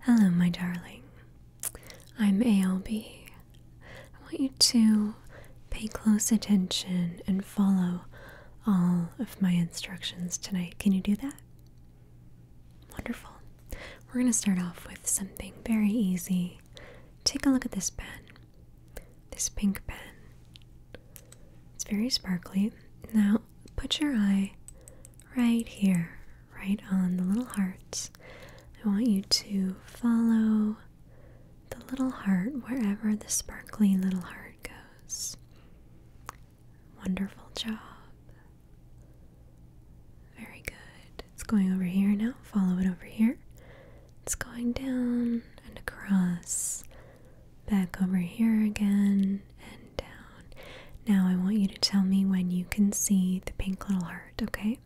Hello, my darling. I'm ALB. I want you to pay close attention and follow all of my instructions tonight. Can you do that? Wonderful. We're going to start off with something very easy. Take a look at this pen. This pink pen. It's very sparkly. Now, put your eye right here, right on the little hearts. I want you to follow the little heart wherever the sparkly little heart goes. Wonderful job. Very good. It's going over here now. Follow it over here. It's going down and across. Back over here again now I want you to tell me when you can see the pink little heart, okay?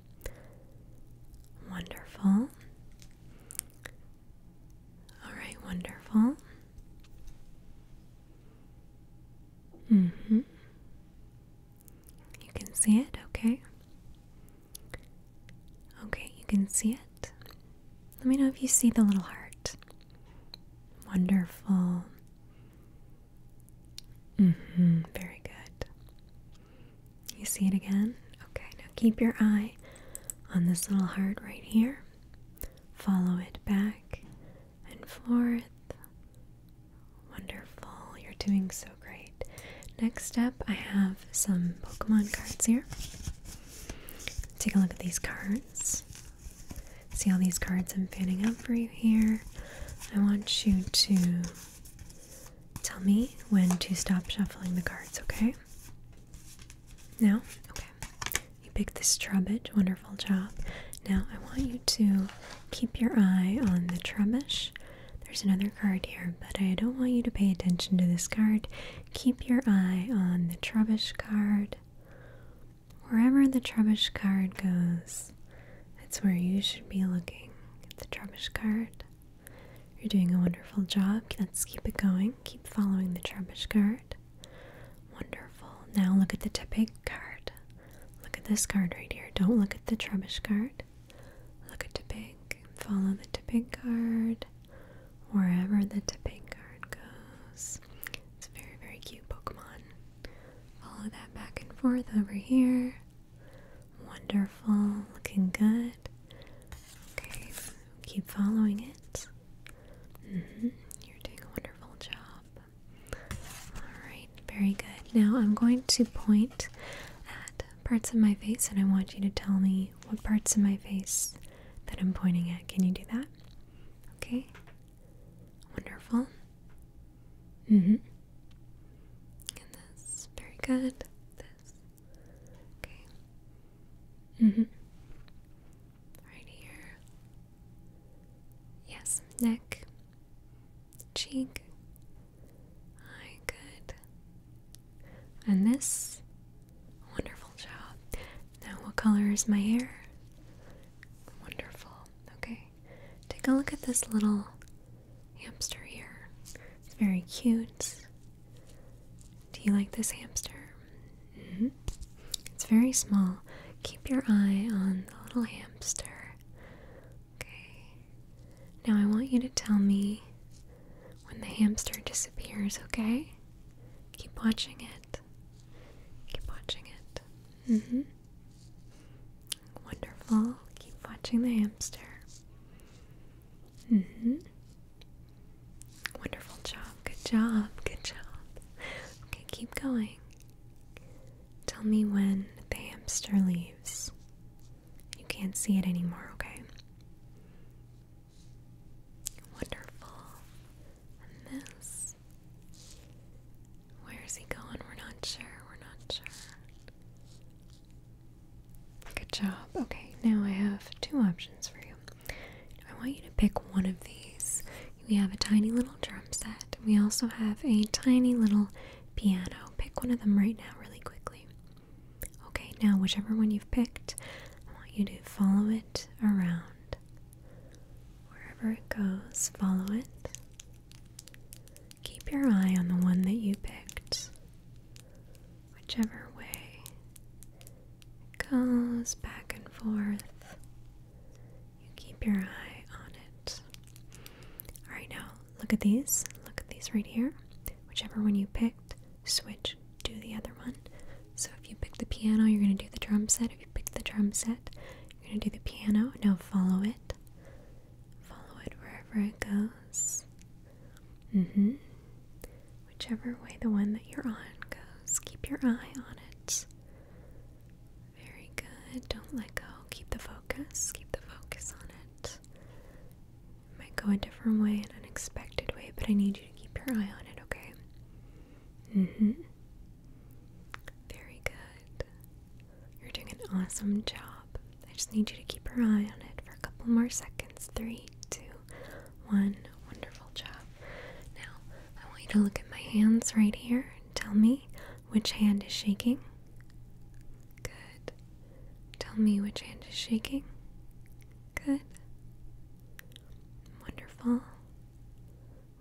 Wonderful. Alright, wonderful. hmm. You can see it, okay? Okay, you can see it. Let me know if you see the little heart. Wonderful. Mm-hmm. Very good. You see it again? Okay, now keep your eye on this little heart right here. Follow it back and forth. Wonderful. You're doing so great. Next up, I have some Pokemon cards here. Take a look at these cards see all these cards I'm fanning out for you here. I want you to tell me when to stop shuffling the cards, okay? Now, okay. You picked this trubbish, wonderful job. Now I want you to keep your eye on the trubbish. There's another card here, but I don't want you to pay attention to this card. Keep your eye on the trubbish card. Wherever the Trubbish card goes, that's where you should be looking at the Trubbish card. You're doing a wonderful job. Let's keep it going. Keep following the Trubbish card. Wonderful. Now look at the Tepig card. Look at this card right here. Don't look at the Trubbish card. Look at Tepig. Follow the Tepig card wherever the Tepig card goes. It's a very, very cute Pokemon. Follow that back and forth over here. Wonderful, looking good. Okay, keep following it. Mm-hmm, you're doing a wonderful job. Alright, very good. Now I'm going to point at parts of my face and I want you to tell me what parts of my face that I'm pointing at. Can you do that? Okay, Wonderful. Mm-hmm. this, very good. This, okay. Mm-hmm. Right here. Yes, neck, cheek, eye, good. And this, wonderful job. Now, what color is my hair? Wonderful. Okay. Take a look at this little hamster here. It's very cute. Do you like this hamster? Mm-hmm. It's very small. Keep your eye on the little hamster. Okay. Now I want you to tell me when the hamster disappears, okay? Keep watching it it. Keep watching it. Mm-hmm. Wonderful. Keep watching the hamster. Mm-hmm. Wonderful job. Good job. Good job. Okay, keep going. Tell me when the hamster leaves. You can't see it anymore, okay? Wonderful. And this. Where is he going? We're not sure. We're not sure. Good job. Okay, now I have two options for you. I want you to pick one of these. We have a tiny little drum set. We also have a tiny little piano. Pick one of them right now, really quickly. Okay, now whichever one you've picked, I want you to follow it around. Wherever it goes, follow it. Keep your eye on the one that you picked. Whichever way it goes back and forth, you keep your eye on it. Alright, now look at these. Look at these right here. Whichever one you picked, switch to the other one. So if you pick the piano, you're going to do the drum set. If you pick the drum set, we're going to do the piano. Now follow it. Follow it wherever it goes. Mm hmm. Whichever way the one that you're on goes, keep your eye on it. Very good. Don't let go. Keep the focus. Keep the focus on it. It might go a different way, an unexpected way, but I need you to keep your eye on it, okay? Mm hmm. Very good. You're doing an awesome job. I just need you to keep your eye on it for a couple more seconds. Three, two, one. Wonderful job. Now, I want you to look at my hands right here and tell me which hand is shaking. Good. Tell me which hand is shaking. Good. Wonderful.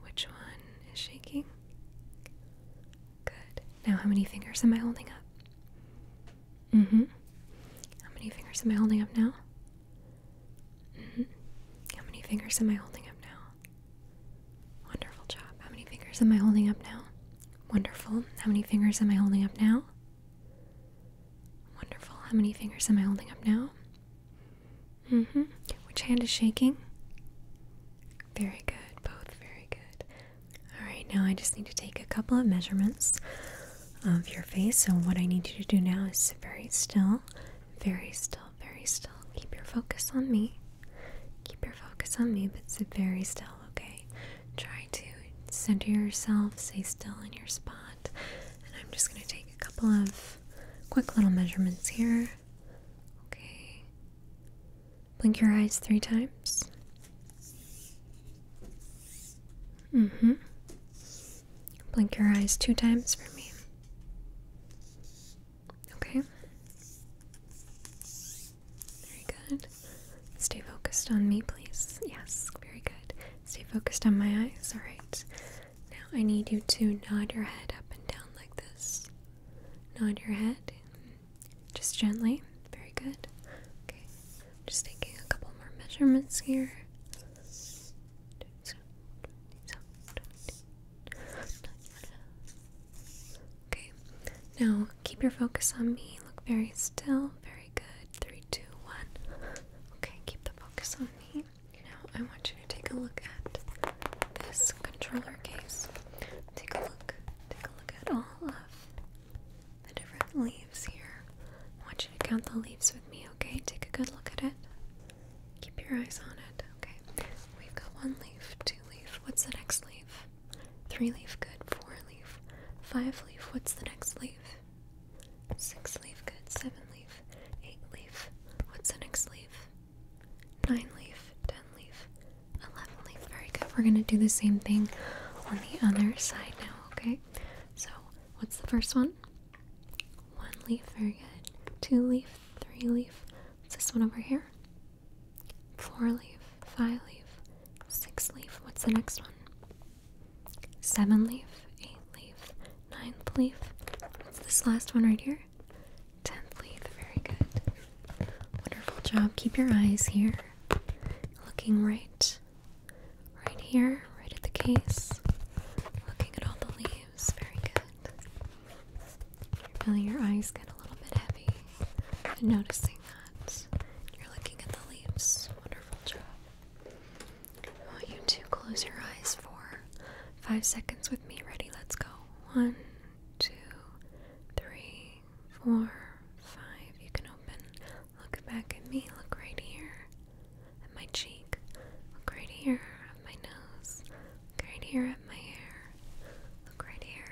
Which one is shaking? Good. Now, how many fingers am I holding up? Mm hmm. How many fingers am I holding up now? Mm hmm. How many fingers am I holding up now? Wonderful job. How many fingers am I holding up now? Wonderful. How many fingers am I holding up now? Wonderful. How many fingers am I holding up now? hmm. Which hand is shaking? Very good. Both very good. Alright, now I just need to take a couple of measurements of your face. So, what I need you to do now is sit very still. Very still, very still. Keep your focus on me. Keep your focus on me, but sit very still, okay? Try to center yourself, stay still in your spot. And I'm just going to take a couple of quick little measurements here. Okay. Blink your eyes three times. Mm hmm. Blink your eyes two times for me. Okay. Very good. Stay focused on me, please. Yes, very good. Stay focused on my eyes. Alright. Now I need you to nod your head up and down like this. Nod your head. Just gently. Very good. Okay. just taking a couple more measurements here. Okay. Now keep your focus on me. Look very still. Very good. Three, two, one. Okay, keep the focus on me. Now I want you to take a look at this controller case. Take a look. Take a look at all of the different leaves here. I want you to count the leaves with me, okay? Take a good look at it. Keep your eyes on it, okay? We've got one leaf, two leaf. What's the next leaf? Three leaf, good. Four leaf, five leaf. What's the next leaf? Six leaf, good. Seven leaf, eight leaf. What's the next leaf? nine leaf, ten leaf, eleven leaf. Very good. We're gonna do the same thing on the other side now, okay? So what's the first one? One leaf, very good. Two leaf, three leaf. What's this one over here? Four leaf, five leaf, six leaf. What's the next one? Seven leaf, eight leaf, ninth leaf. What's this last one right here? Tenth leaf, very good. Wonderful job. Keep your eyes here. Looking right, right here, right at the case. Looking at all the leaves, very good. you feeling your eyes get a little bit heavy. And noticing that. You're looking at the leaves. Wonderful job. I want you to close your eyes for Five seconds with me. Ready? Let's go. One, two, three, four, five. You can open. Look back at me. Look right here at my cheek. Look right here at my nose. Look right here at my hair. Look right here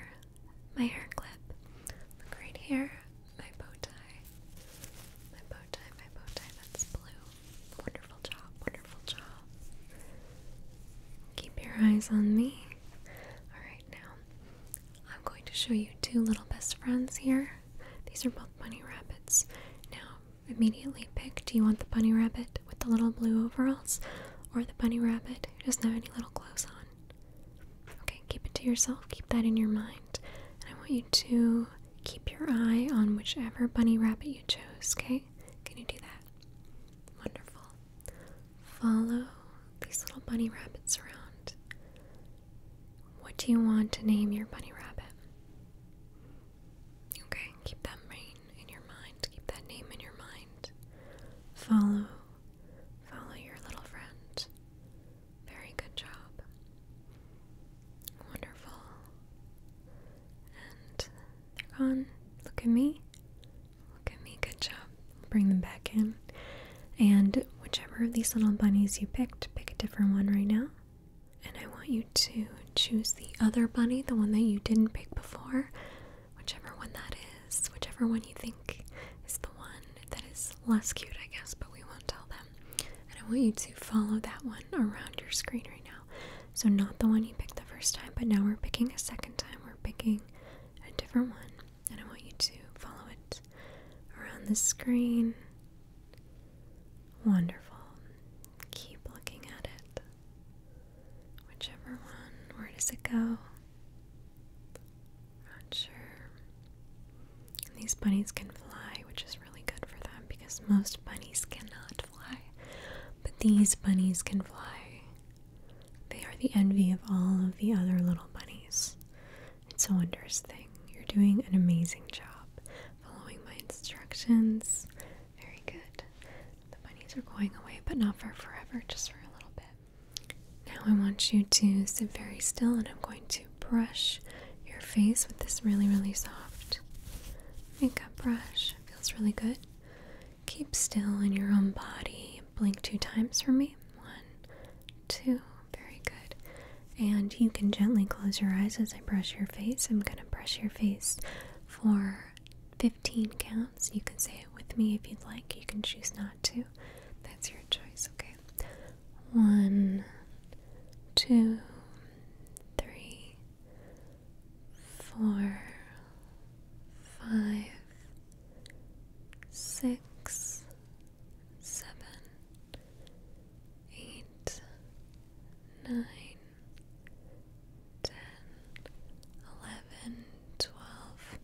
my hair clip. Look right here my bow tie. My bow tie, my bow tie, that's blue. Wonderful job, wonderful job. Keep your eyes on me. Alright, now I'm going to show you two little best friends here. These are both bunny rabbits. Now, immediately pick do you want the bunny rabbit with the little blue overalls or the bunny rabbit who doesn't have any little clothes on? Okay, keep it to yourself, keep that in your mind. And I want you to keep your eye on whichever bunny rabbit you chose, okay? Can you do that? Wonderful. Follow these little bunny rabbits around. What do you want to name your bunny rabbit? Okay, keep that brain in your mind. Keep that name in your mind. Follow, follow your little friend. Very good job. Wonderful they're gone. Look at me. Look at me. Good job. Bring them back in. And whichever of these little bunnies you picked, pick a different one right now. And I want you to choose the other bunny, the one that you didn't pick before, whichever one that is, whichever one you think is the one that is less cute, I guess, but we won't tell them. And I want you to follow that one around your screen right now. So, not the one you picked the first time, but now we're picking a second time. We're picking a different one, and I want you to follow it around the screen. Wonderful. Keep looking at it. Whichever one, where does it go? Not sure. these bunnies can fly, which is really good for them because most bunnies cannot fly. But these bunnies can fly. They are the envy of all of the other little bunnies. It's a wondrous thing. You're doing an amazing job following my instructions. Very good. The bunnies are going away, but not for forever, just for a little bit. Now I want you to sit very still and I'm going to brush your face with this really, really soft makeup brush. Feels really good. Keep still in your own body. Blink two times for me. One, two. Very good. And you can gently close your eyes as I brush your face. I'm going to brush your face for 15 counts. You can say it with me if you'd like. You can choose not to. That's your choice, okay? One, two, three, four, five, six, seven, eight, nine, ten, eleven, twelve,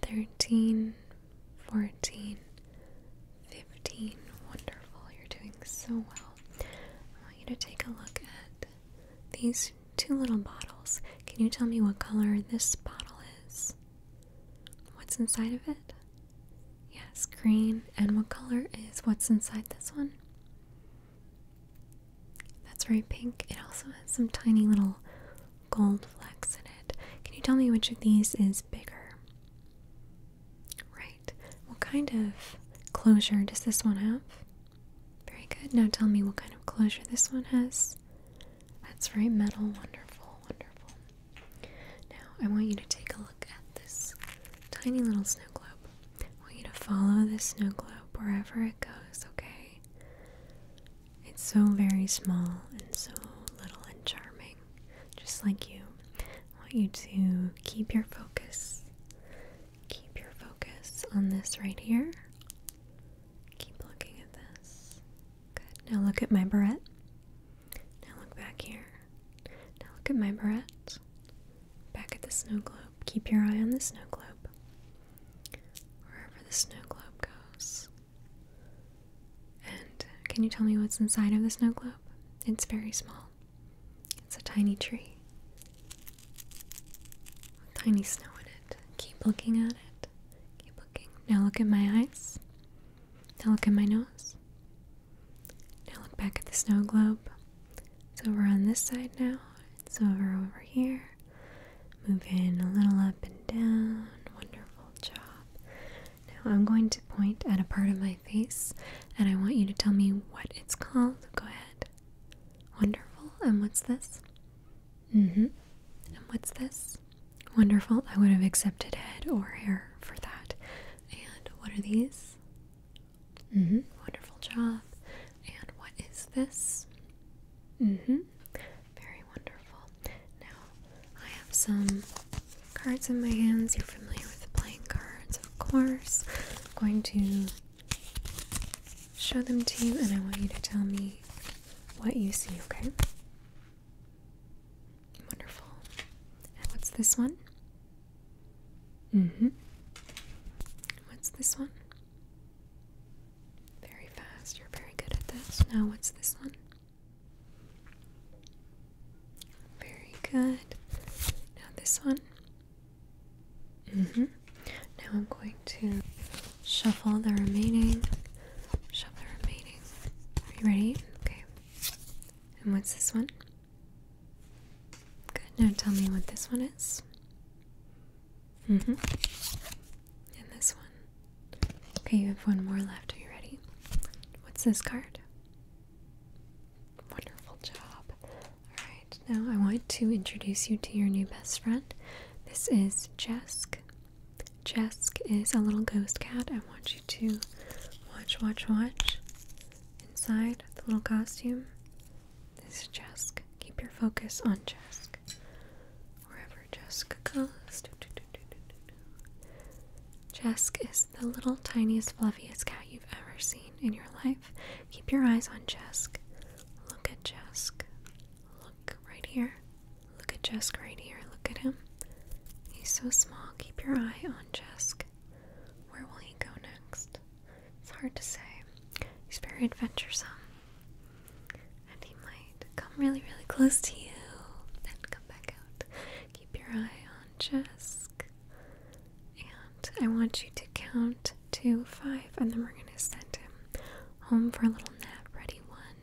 thirteen, fourteen, fifteen. Wonderful, you're doing so well. I want you to take a look at these two little bottles. Can you tell me what color this bottle is? What's inside of it? Yes, green. And what color is what's inside this one? That's very pink. It also has some tiny little gold flecks in it. Can you tell me which of these is bigger? Right. What kind of closure does this one have? Very good. Now tell me what kind of closure this one has. That's very metal. Wonderful, wonderful. Now I want you to take a look at this tiny little snow globe. I want you to follow this snow globe wherever it goes, okay? It's so very small and so little and charming, just like you. I want you to keep your focus Keep your focus on this right here. Keep looking at this. Good. Now look at my barrette. Now look back here. Now look at my barrette. Back at the snow globe. Keep your eye on the snow globe. Wherever the snow globe goes. And can you tell me what's inside of the snow globe? It's very small. It's a tiny tree. Tiny snow in it. Keep looking at it. Keep looking. Now look at my eyes. Now look at my nose. Now look back at the snow globe. It's over on this side now. It's over over here. Move in a little up and down. Wonderful job. Now I'm going to point at a part of my face and I want you to tell me what it's called. Go ahead. Wonderful. And what's this? Mm hmm. And what's this? Wonderful. I would have accepted head or hair for that. And what are these? Mm hmm. Wonderful job. And what is this? Mm hmm. Very wonderful. Now, I have some cards in my hands. You're familiar with playing cards, of course. I'm going to show them to you and I want you to tell me what you see, okay? Wonderful. what's this one? Mm-hmm. What's this one? Very fast. You're very good at this. Now what's this one? Very good. Now this one. Mm -hmm. Now I'm going to shuffle the remaining. Shuffle the remaining. Are you ready? Okay. And what's this one? Good. Now tell me what this one is. Mm hmm. And this one. Okay, you have one more left. Are you ready? What's this card? Wonderful job. Alright, now I want to introduce you to your new best friend. This is Jesk. Jesk is a little ghost cat. I want you to watch, watch, watch. Inside the little costume. This is Jesk. Keep your focus on Jesk. Wherever Jesk goes. Jesk is the little tiniest, fluffiest cat you've ever seen in your life. Keep your eyes on Jesk. Look at Jesk. Look right here. Look at Jesk right here. Look at him. He's so small. Keep your eye on Jesk. Where will he go next? It's hard to say. He's very adventuresome. And he might come really, really close to you and come back out. Keep your eye on Jess. And I want you to count to five, and then we're going to send him home for a little nap. Ready? One,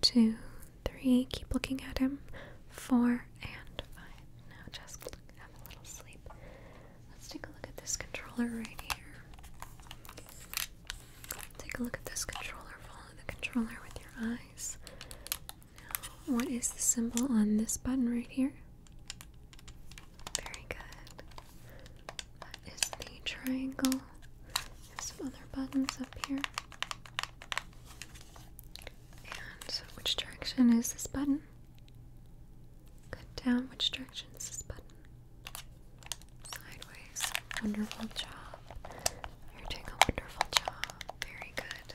two, three. Keep looking at him. Four and five. Now just have a little sleep. Let's take a look at this controller right here. Take a look at this controller. Follow the controller with your eyes. Now, what is the symbol on this button right here? Very good. That is the triangle. some other buttons up here. And which direction is this button? Good down. Which direction is this button? Sideways. Wonderful job. You're doing a wonderful job. Very good.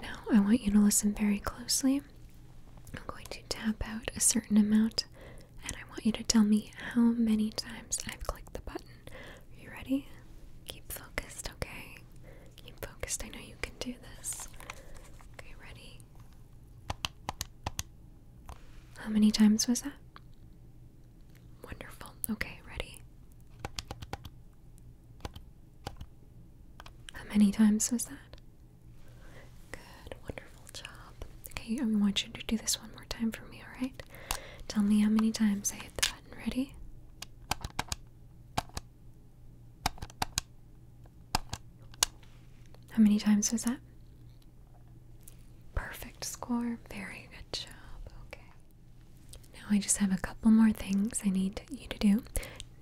Now, I want you to listen very closely. I'm going to tap out a certain amount, and I want you to tell me how many times I've clicked the button. Are you ready? Keep focused, okay? Keep focused. I know you can do this. Okay, ready? How many times was that? Wonderful. Okay, ready? How many times was that? Good, wonderful job. Okay, I want you to do this one more time for me, alright? Tell me how many times I hit the button. Ready? How many times was that? Perfect score. Very good job. Okay. Now I just have a couple more things I need you to do.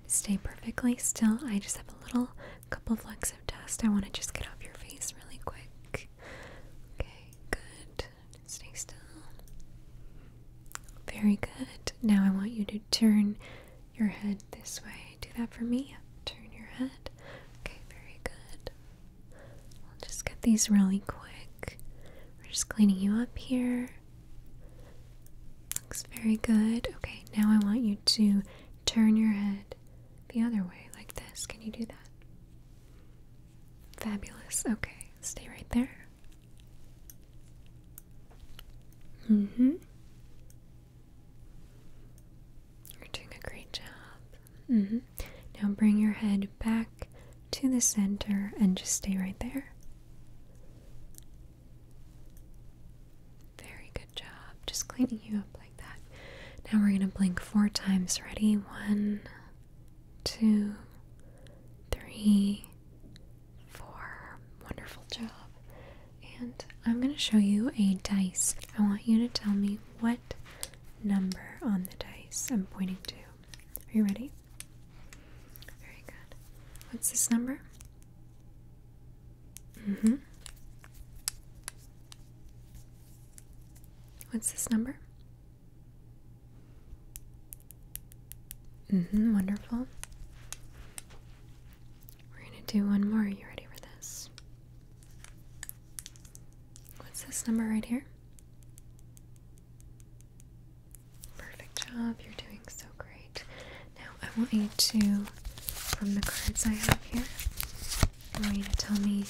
Stay perfectly still. I just have a little couple flecks of dust I want to just get off your face really quick. Okay, good. Stay still. Very good. Now I want you to turn your head this way. Do that for me. Turn your head. Okay, very good. I'll just get these really quick. We're just cleaning you up here. Looks very good. Okay, now I want you to turn your head the other way, like this. Can you do that? Fabulous. Okay, stay right there. Mm hmm. You're doing a great job. hmm. Now bring your head back to the center and just stay right there. Very good job. Just cleaning you up like that. Now we're going to blink four times. Ready? One, two, three, four. Wonderful job. And I'm going to show you a dice. I want you to tell me what number on the dice I'm pointing to. Are you ready? Very good. What's this number? Mm-hmm. What's this number? Mm-hmm, wonderful. We're gonna do one more. Are you ready for this? What's this number right here? Perfect job. You're doing so great. Now, I want you to, from the cards I have here, I want you to tell me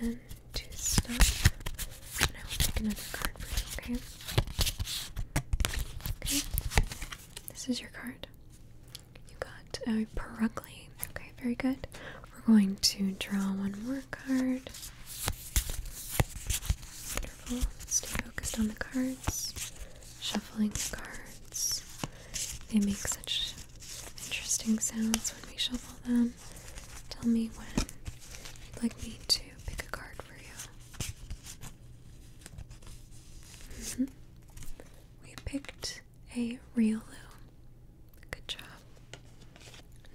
when to stop. And I will take another card for you, okay? Okay. This is your card. You got a Perugly. Okay, very good. We're going to draw one more card. Wonderful. Stay focused on the cards. Shuffling the cards. They make such interesting sounds when we shuffle them. Tell me when you'd like me to pick a card for you. Mm-hmm. We picked a Riolu. Good job.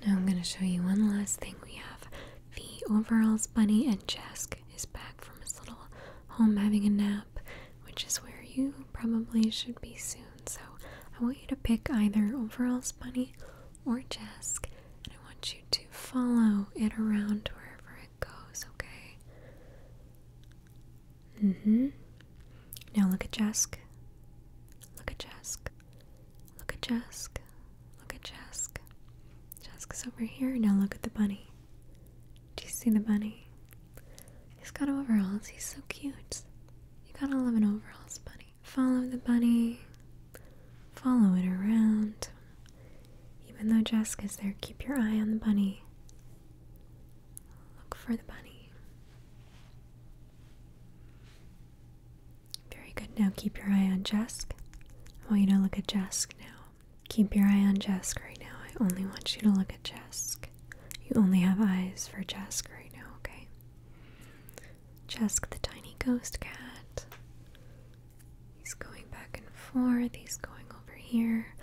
Now I'm going to show you one last thing we have. The overalls bunny and Jask is back from his little home having a nap, which is where you probably should be soon. So I want you to pick either overalls bunny or Jask, and I want you to follow it around wherever it goes, okay? Mm-hmm. Now look at Jask. Look at Jask. Look at Jesk. Look at Jesk. is over here. Now look at the bunny. Do you see the bunny? He's got overalls. He's so cute. You gotta love an overalls bunny. Follow the bunny. Follow it around. Even though Jesk is there, keep your eye on the bunny. Look for the bunny. Very good. Now keep your eye on Jesk. I want you to look at Jesk now. Keep your eye on Jesk right now. I only want you to look at Jesk. You only have eyes for Jesk right now, okay? Jesk the tiny ghost cat. He's going back and forth. He's going over here.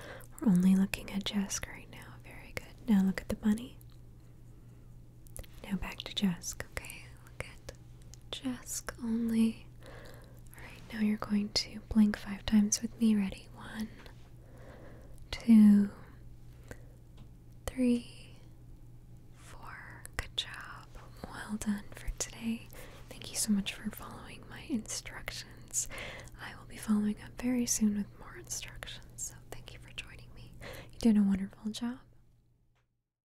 We're only looking at Jesk right now. Very good. Now look at the bunny. Now back to Jesk, okay? look at Jesk only. Alright, now you're going to blink five times with me. Ready? One, two, three, four. Good job. Well done for today. Thank you so much for following my instructions. I will be following up very soon with more instructions, so thank you for joining me. You did a wonderful job.